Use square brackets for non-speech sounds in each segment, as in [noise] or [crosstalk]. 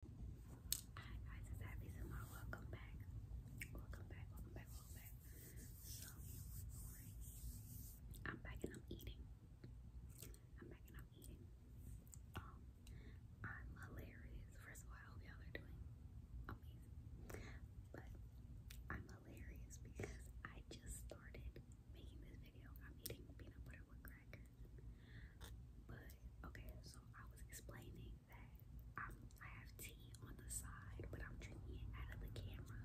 Hi guys, it's Abby Zamar. Welcome back. Welcome back, welcome back, welcome back. So, I'm back and I'm eating. I'm back and I'm eating. Um, I'm hilarious. First of all, I hope y'all are doing amazing. But I'm hilarious because I just started making this video. I'm eating peanut butter with crackers. But okay, so I was explaining that i have tea on the side, but I'm drinking it out of the camera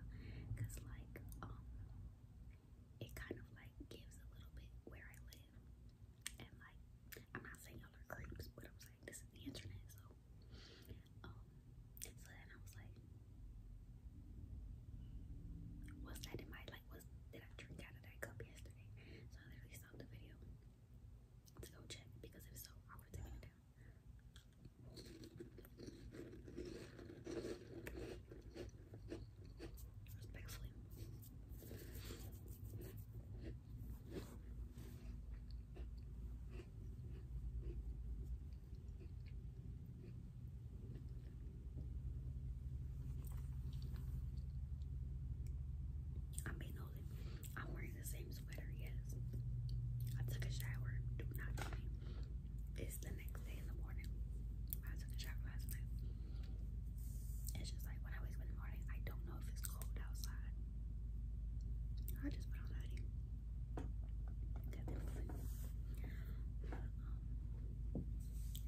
because, like, um, it kind of like gives a little bit where I live, and like, I'm not saying y'all are creeps, but I'm saying this is the internet, so um, so I was like. Was that in my like was did I drink out of that cup yesterday? So I literally you saw the video to go check because if so, I would have it down. Respectfully. I'm being holy. I'm wearing the same sweater, yes. I took a shower. Do not tell me. It's the next day in the morning. I took a shower last night. It's just like when I wake up in the morning, I don't know if it's cold outside. I just put on a hoodie.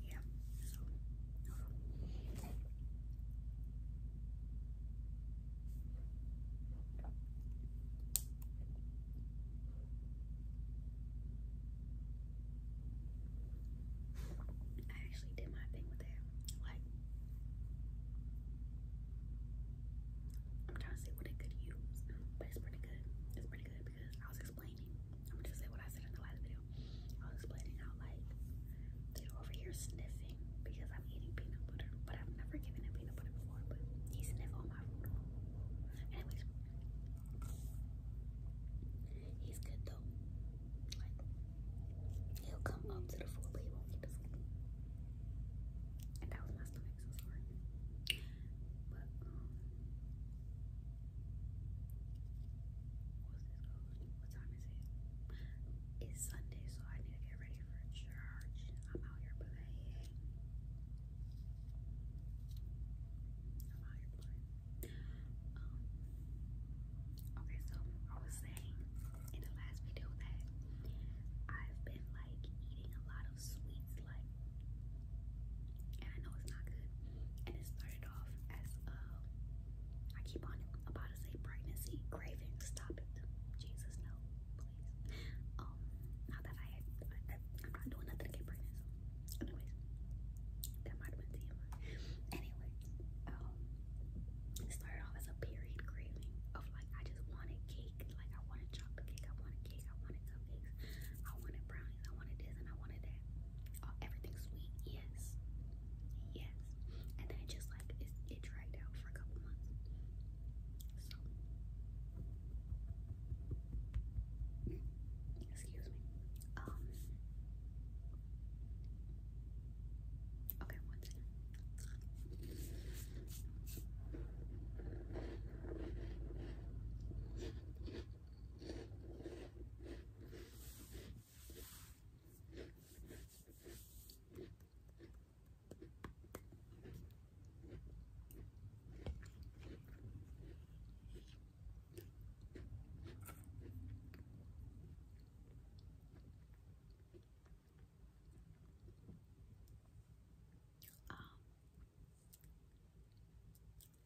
Yeah. So, I actually did my thing with it. Like, I'm trying to say what it could use, but it's pretty good. It's pretty good because I was explaining. I'm gonna say what I said in the last video. I was explaining how like they're over here sniffing because I'm eating peanut butter, but I've never given him peanut butter before. But he's sniffed on my food. Anyways, he's good though. Like he'll come up to the food, but he won't eat the And that was my stomach, so sorry. But um, what time is it? It's Sunday, so I need to get ready for church. I'm out here playing. Um, okay, so I was saying in the last video that I've been like eating a lot of sweets, like, and I know it's not good, and it's started off as a, um, I keep on about to say pregnancy, craving, stop it. Jesus, no, please. Um, not that I, I, I'm not doing nothing to get pregnant, so anyways, that might have been TMI. Anyway, um, it started off as a period craving of like, I just wanted cake, like I wanted chocolate cake, I wanted cake, I wanted cupcakes, I wanted brownies, I wanted this and I wanted that. Oh, everything sweet, yes, yes. And then it just like it, it out for a couple months. So, excuse me. Um, okay, um,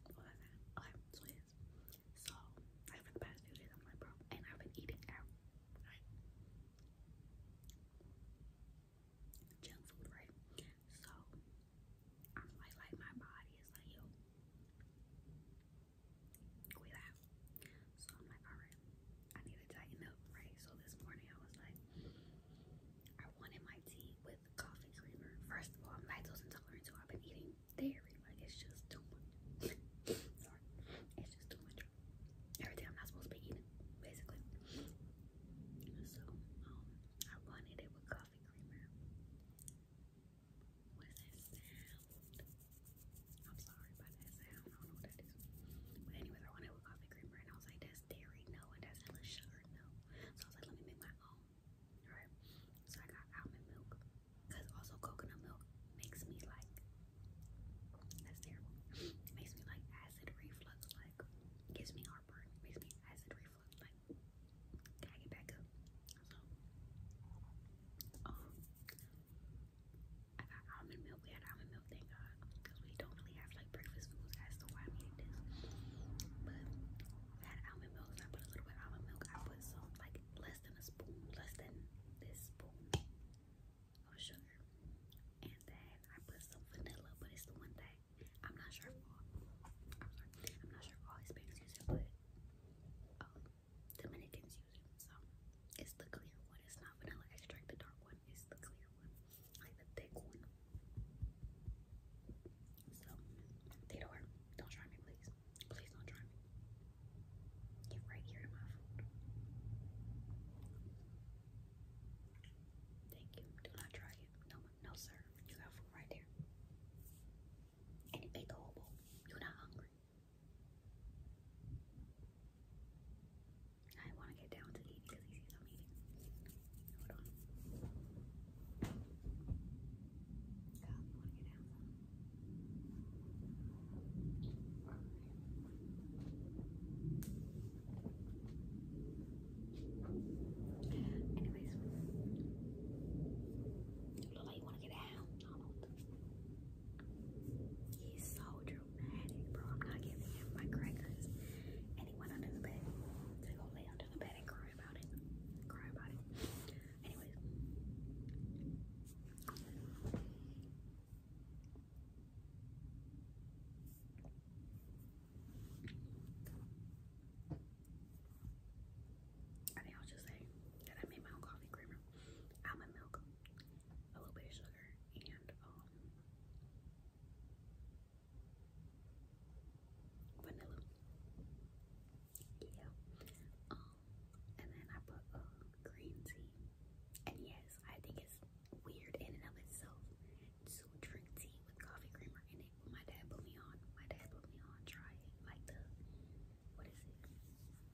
whatever. I'm sorry. So, like for the past few days, I'm like, bro, and I've been eating out, Junk food, right? So, I'm like, like my body is like, yo, quit out. So I'm like, all right, I need to tighten up, right? So this morning I was like, I wanted my tea with coffee creamer. First of all, I'm lactose so I've been eating dairy. Like it's just too much. Sorry, it's just too much. Everything I'm not supposed to be eating, basically. So um, I wanted it with coffee creamer. What is that I'm sorry about that sound. I don't know what that is. But anyways, I wanted with coffee creamer, and I was like, that's dairy, no, and that's less sugar, no. So I was like, let me make my own. All right. So I got almond milk. Because also coconut milk makes me like, that's terrible. makes me like acid reflux, like gives me heartburn, makes me acid reflux, like can I get back up? So, um, I got almond milk. We had almond milk, thank God, because we don't really have like breakfast foods. As to why I'm this, but had almond milk. I put a little bit almond milk. I put some like less than a spoon, less than this spoon of sugar. And then I put some vanilla, but it's the one that I'm not sure if all, I'm sorry, I'm not sure if all Hispanics use it, but um, Dominicans use it. So it's the clear one. It's not vanilla extract, the dark one. It's the clear one, like the thick one. So they don't Don't try me, please. Please don't try me. Get right here in my food. Thank you. Do not try it. No, no, sir. You got food right there. And it You're not hungry. I want to get down to eat because he sees eating. Hold on. God, you want to get down? Anyways, look like you want to get out, He's so dramatic, bro. I'm not giving him my crackers. And he went under the bed. They go lay under the bed and cry about it. Cry about it. Anyways. I think I'll just say that I made my own coffee creamer, almond milk, a little bit of sugar, and um, vanilla. Yeah. Um, and then I put uh, green tea. And yes, I think it's weird in and of itself to drink tea with coffee creamer in it. My dad put me on. My dad put me on. Try Like the what is it?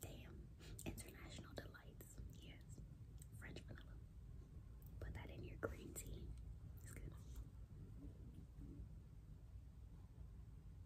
Damn, international delights. Yes, French vanilla. Put that in your green tea. It's good.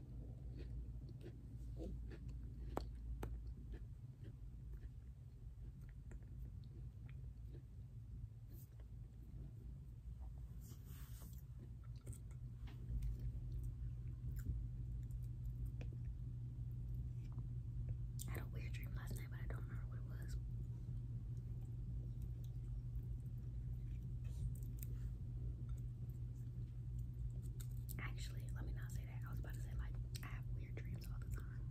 I had a weird dream last night, but I don't remember what it was. Actually, let me not say that. I was about to say like I have weird dreams all the time,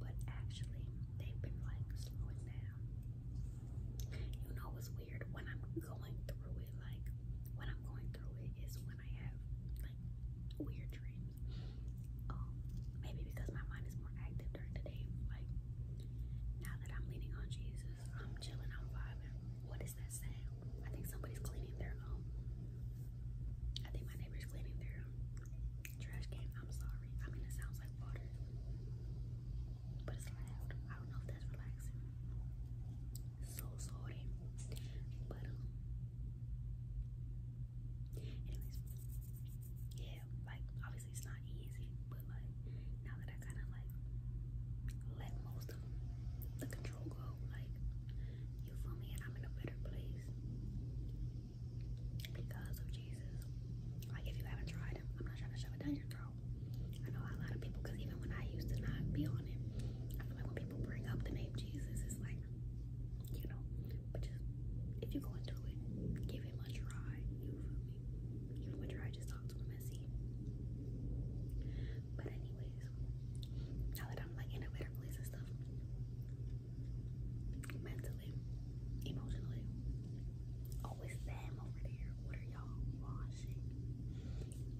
but actually they've been like slowing down. You know what's weird? When I'm going through it, like when I'm going through it is when I have like weird dreams. Um, maybe because my mind is more active during the day. Like now that I'm leaning on Jesus, I'm chilling, I'm vibing. What I think somebody's cleaning their own. Um, I think my neighbor's cleaning their um, trash can. I'm sorry. I mean it sounds like water. But it's loud. I don't know if that's relaxing. So sorry. But um anyways yeah, like obviously it's not easy, but like now that I kinda like let most of the natural glow. Like, you feel me? And I'm in a better place because of Jesus. Like, if you haven't tried him, I'm not trying to shove it down your throat. I know a lot of people, because even when I used to not be on it, I feel like when people bring up the name Jesus, it's like, you know, but just if you go into it, give him a try. You feel me? Give him a try. Just talk to him and see. But anyways, now that I'm like in a better place and stuff, mentally, emotionally, always them over there. What are y'all washing?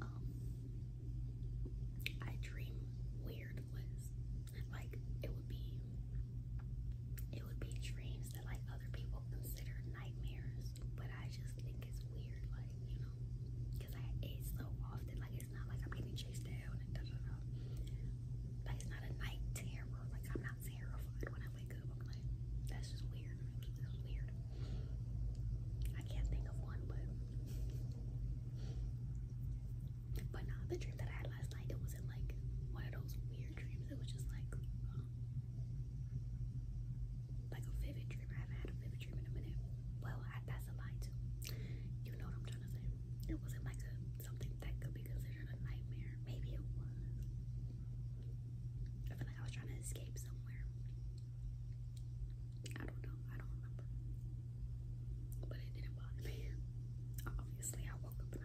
Um, I dream weird lists. Like it would be, it would be dreams that like other people consider nightmares but I just think it's weird, like, you know, because I eat so often, like, it's not like I'm getting chased down Like, it's not a night terror, like, I'm not terrified when I wake up. I'm like, that's just weird. That's weird. I can't think of one, but. But nah, the dream that I had last night, it wasn't like one of those weird dreams. It was just like, um, like a vivid dream. I have had well, I, that's a lie too. You know what I'm trying to say. It wasn't like something that could be considered a nightmare. Maybe it was. I feel like I was trying to escape somewhere. I don't know. I don't remember. But it didn't bother me. Obviously, I woke up and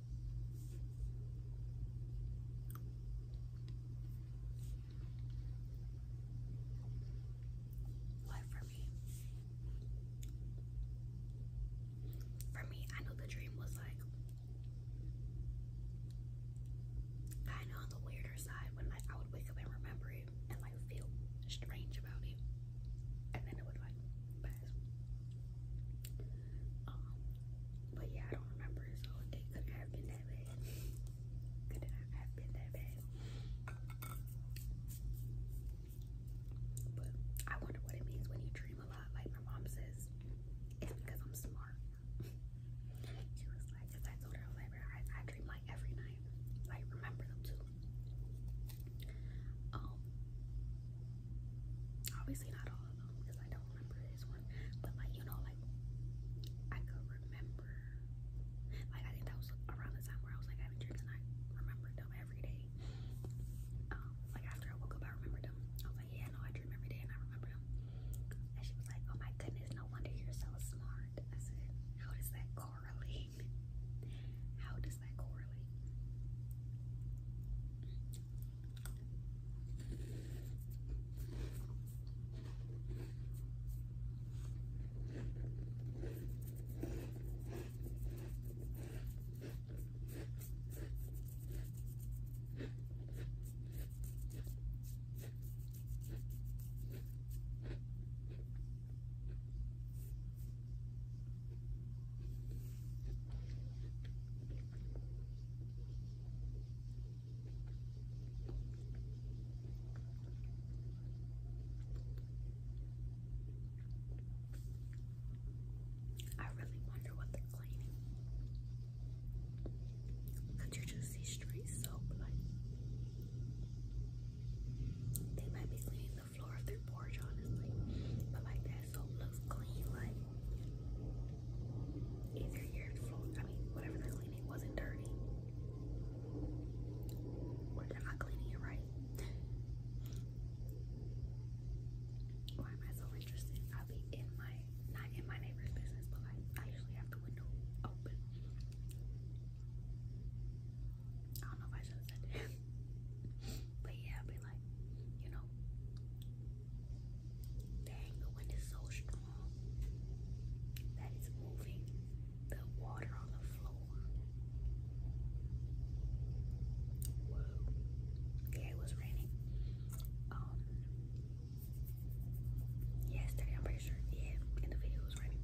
What for me? For me, I know the dream was like kind on the weirder side when like I would wake up and remember it and like feel strange about it, and then it would like um, but yeah, I don't remember, so it couldn't have been that bad. Could not have been that bad. But I wonder what it means when you dream a lot. Like my mom says, it's because I'm smart. she was like, I told her, I dream like every night. Like, remember them too. Um, Obviously not all of them because I don't remember this one. But like you know, like I could remember. Like I think that was around the time where I was like having dreams and I remembered them every day. Um, like after I woke up, I remembered them. I was like, yeah, no, I dream every day and I remember them. And she was like, oh my goodness, no wonder you're so smart. I said, how does that correlate? How does is that correlate? Okay. I really wonder what they're cleaning. Could you just see straight soap? Like they might be cleaning the floor of their porch, honestly. But like that soap looks clean, like Either your phone, I mean, whatever they're cleaning wasn't dirty, or are not cleaning it right. Why am I so interested? I'll be in my, not in my neighbor's business, but like, I usually have the window open. I don't know if I should have said that. [laughs] But yeah, i like, you know, dang, the wind is so strong that it's moving the water on the floor. Whoa. Yeah, it was raining. Um, yesterday, I'm pretty sure. Yeah, in the video, it was raining.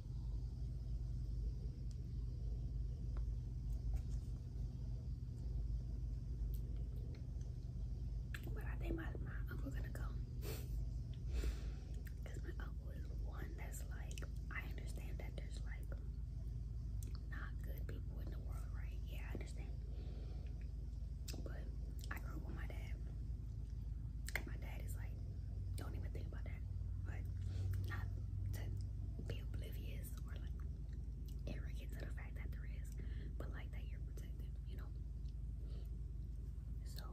But I think my, my uncle gonna go. Cause my uncle is one that's like, I understand that there's like not good people in the world, right? Yeah, I understand. But I grew up with my dad. My dad is like don't even think about that. But not to be oblivious or like arrogant to the fact that there is, but like that you're protected, you know. So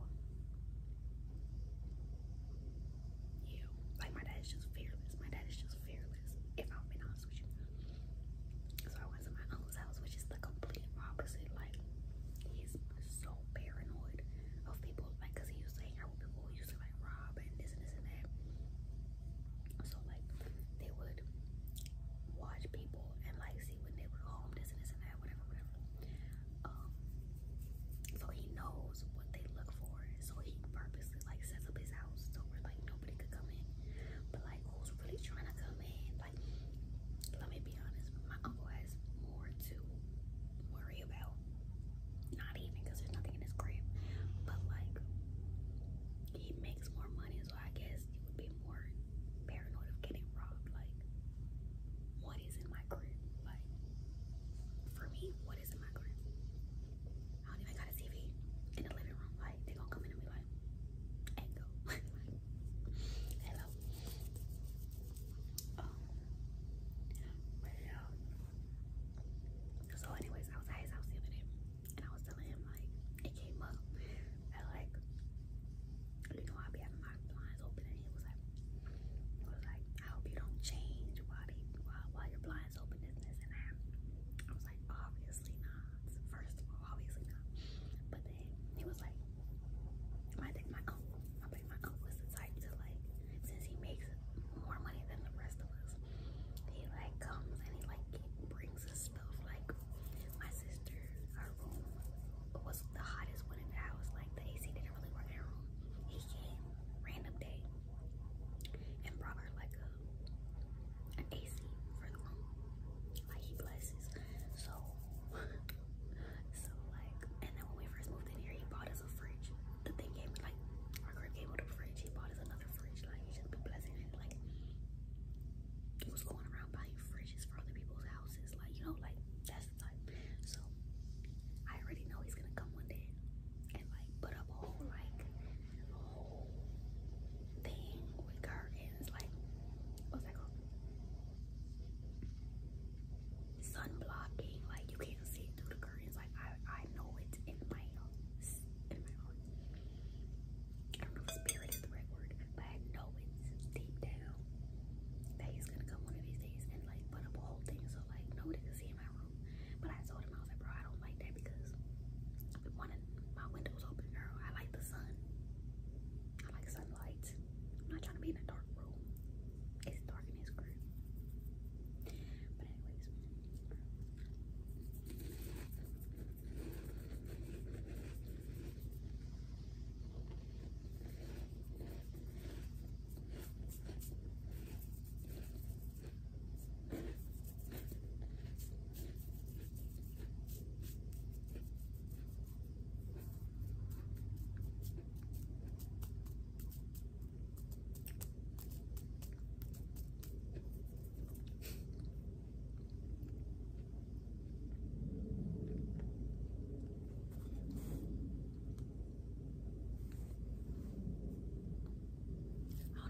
yeah, like my dad is just fearless. My dad is just fearless. If I'm being honest with you. So I went to my uncle's house, which is the complete opposite. Like he's so paranoid of people, like, cause he used to hang out with people who used to like rob rob and this and this and that. So like they would watch people and like see when they were home, this and this and that, whatever, whatever. Um so he knows what they look for. So he purposely like sets up his house so where like nobody could come in. But like who's really trying to come in? Like let me be honest, my uncle has more to worry about not even because there's nothing in his crib. But like he makes more money, so I guess you would be more paranoid of getting robbed. Like, what is in my crib? Like for me, what is in my crib? I don't even got a TV in the living room. Like they gonna come in and be like, and go. [laughs] Hello. Um, but yeah, so anyways, I was at his house the other and I was telling him like it came up that like you know I'd be having my blinds open and he was like he was like I hope you don't change while they while, while your blinds open this and this and that. I was like obviously not. First of all, obviously not. But then he was like my thing my uncle think my uncle is the type to like, since he makes more money than the rest of us, he like comes and he like brings us stuff. Like my sister, her room was the hottest one in the house. Like the AC didn't really work in her room. He came random day and brought her like a an AC for the room. Like he blesses. So [laughs] so like, and then when we first moved in here, he bought us a fridge. The thing gave me like our crib gave with a fridge. He bought us another fridge. Like he just be blessing it. Like he was going around buying fridges for other people's houses. Like you know, like that's the So I already know he's gonna come one day and like put up a whole like whole thing with curtains. Like what's that called? Sun blocking. Like you can't see through the curtains. I I know it in my in I don't know if spirit is the right word, but I know it deep down that he's gonna come one of these days and like put up a whole thing so like nobody can see in my room. But I told him I was like, bro, I don't like that because one of my windows open, girl. I like the sun. I like sunlight. I'm not trying to be in a dark room. It's dark and it's grim. But anyways. I don't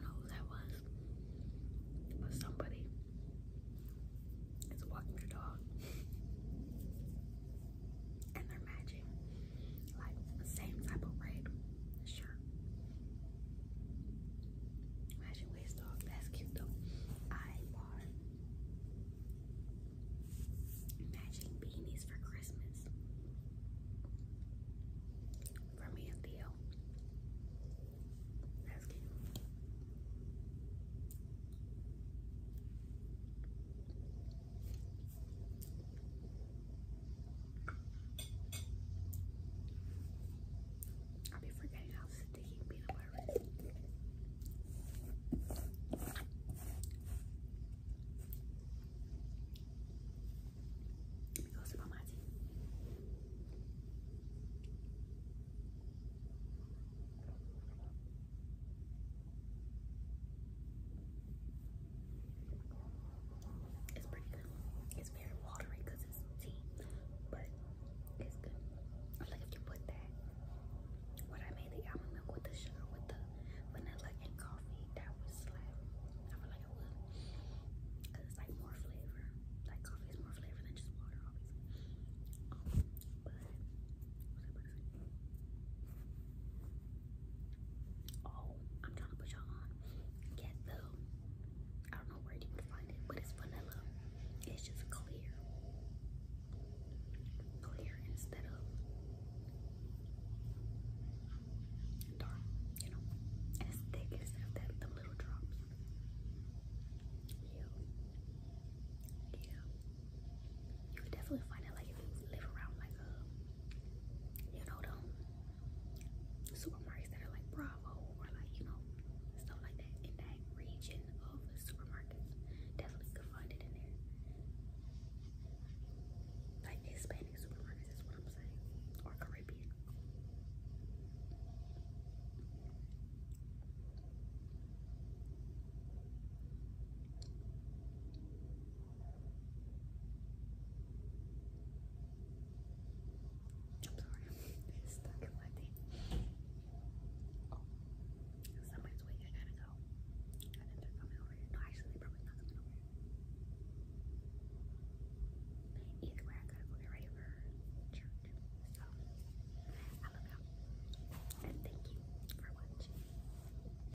know who that was, but somebody is walking their dog and they're matching like same type of red shirt. Matching waist that's cute though. I bought matching beanies for Christmas for me and Theo. That's cute. I'll be forgetting how sticky peanut butter is. Let me go sip my tea. It's pretty good. It's very watery because it's tea, but it's good. Like if you put that, when I made the almond milk with the sugar, with the vanilla and coffee, that would slap. I feel like it would. Because it's like more flavor. Like coffee is more flavor than just water, obviously. Um, but, Oh, I'm trying to put y'all on. Get the, I don't know where you would find it, but it's vanilla. It's just clear. Clear instead of dark, you know. And thick instead that, the little drops. Yeah. Yeah you would definitely find it like if you live around like a uh, you know them supermarkets that are like Bravo or like you know stuff like that in that region of the supermarkets. Definitely could find it in there. Like Hispanic supermarkets is what I'm saying. Or Caribbean. I'm sorry, I'm stuck in my somebody's waiting, gotta go. No, actually, they probably not coming over Either way, I gotta go get ready for church. So, I'm going And thank you for watching.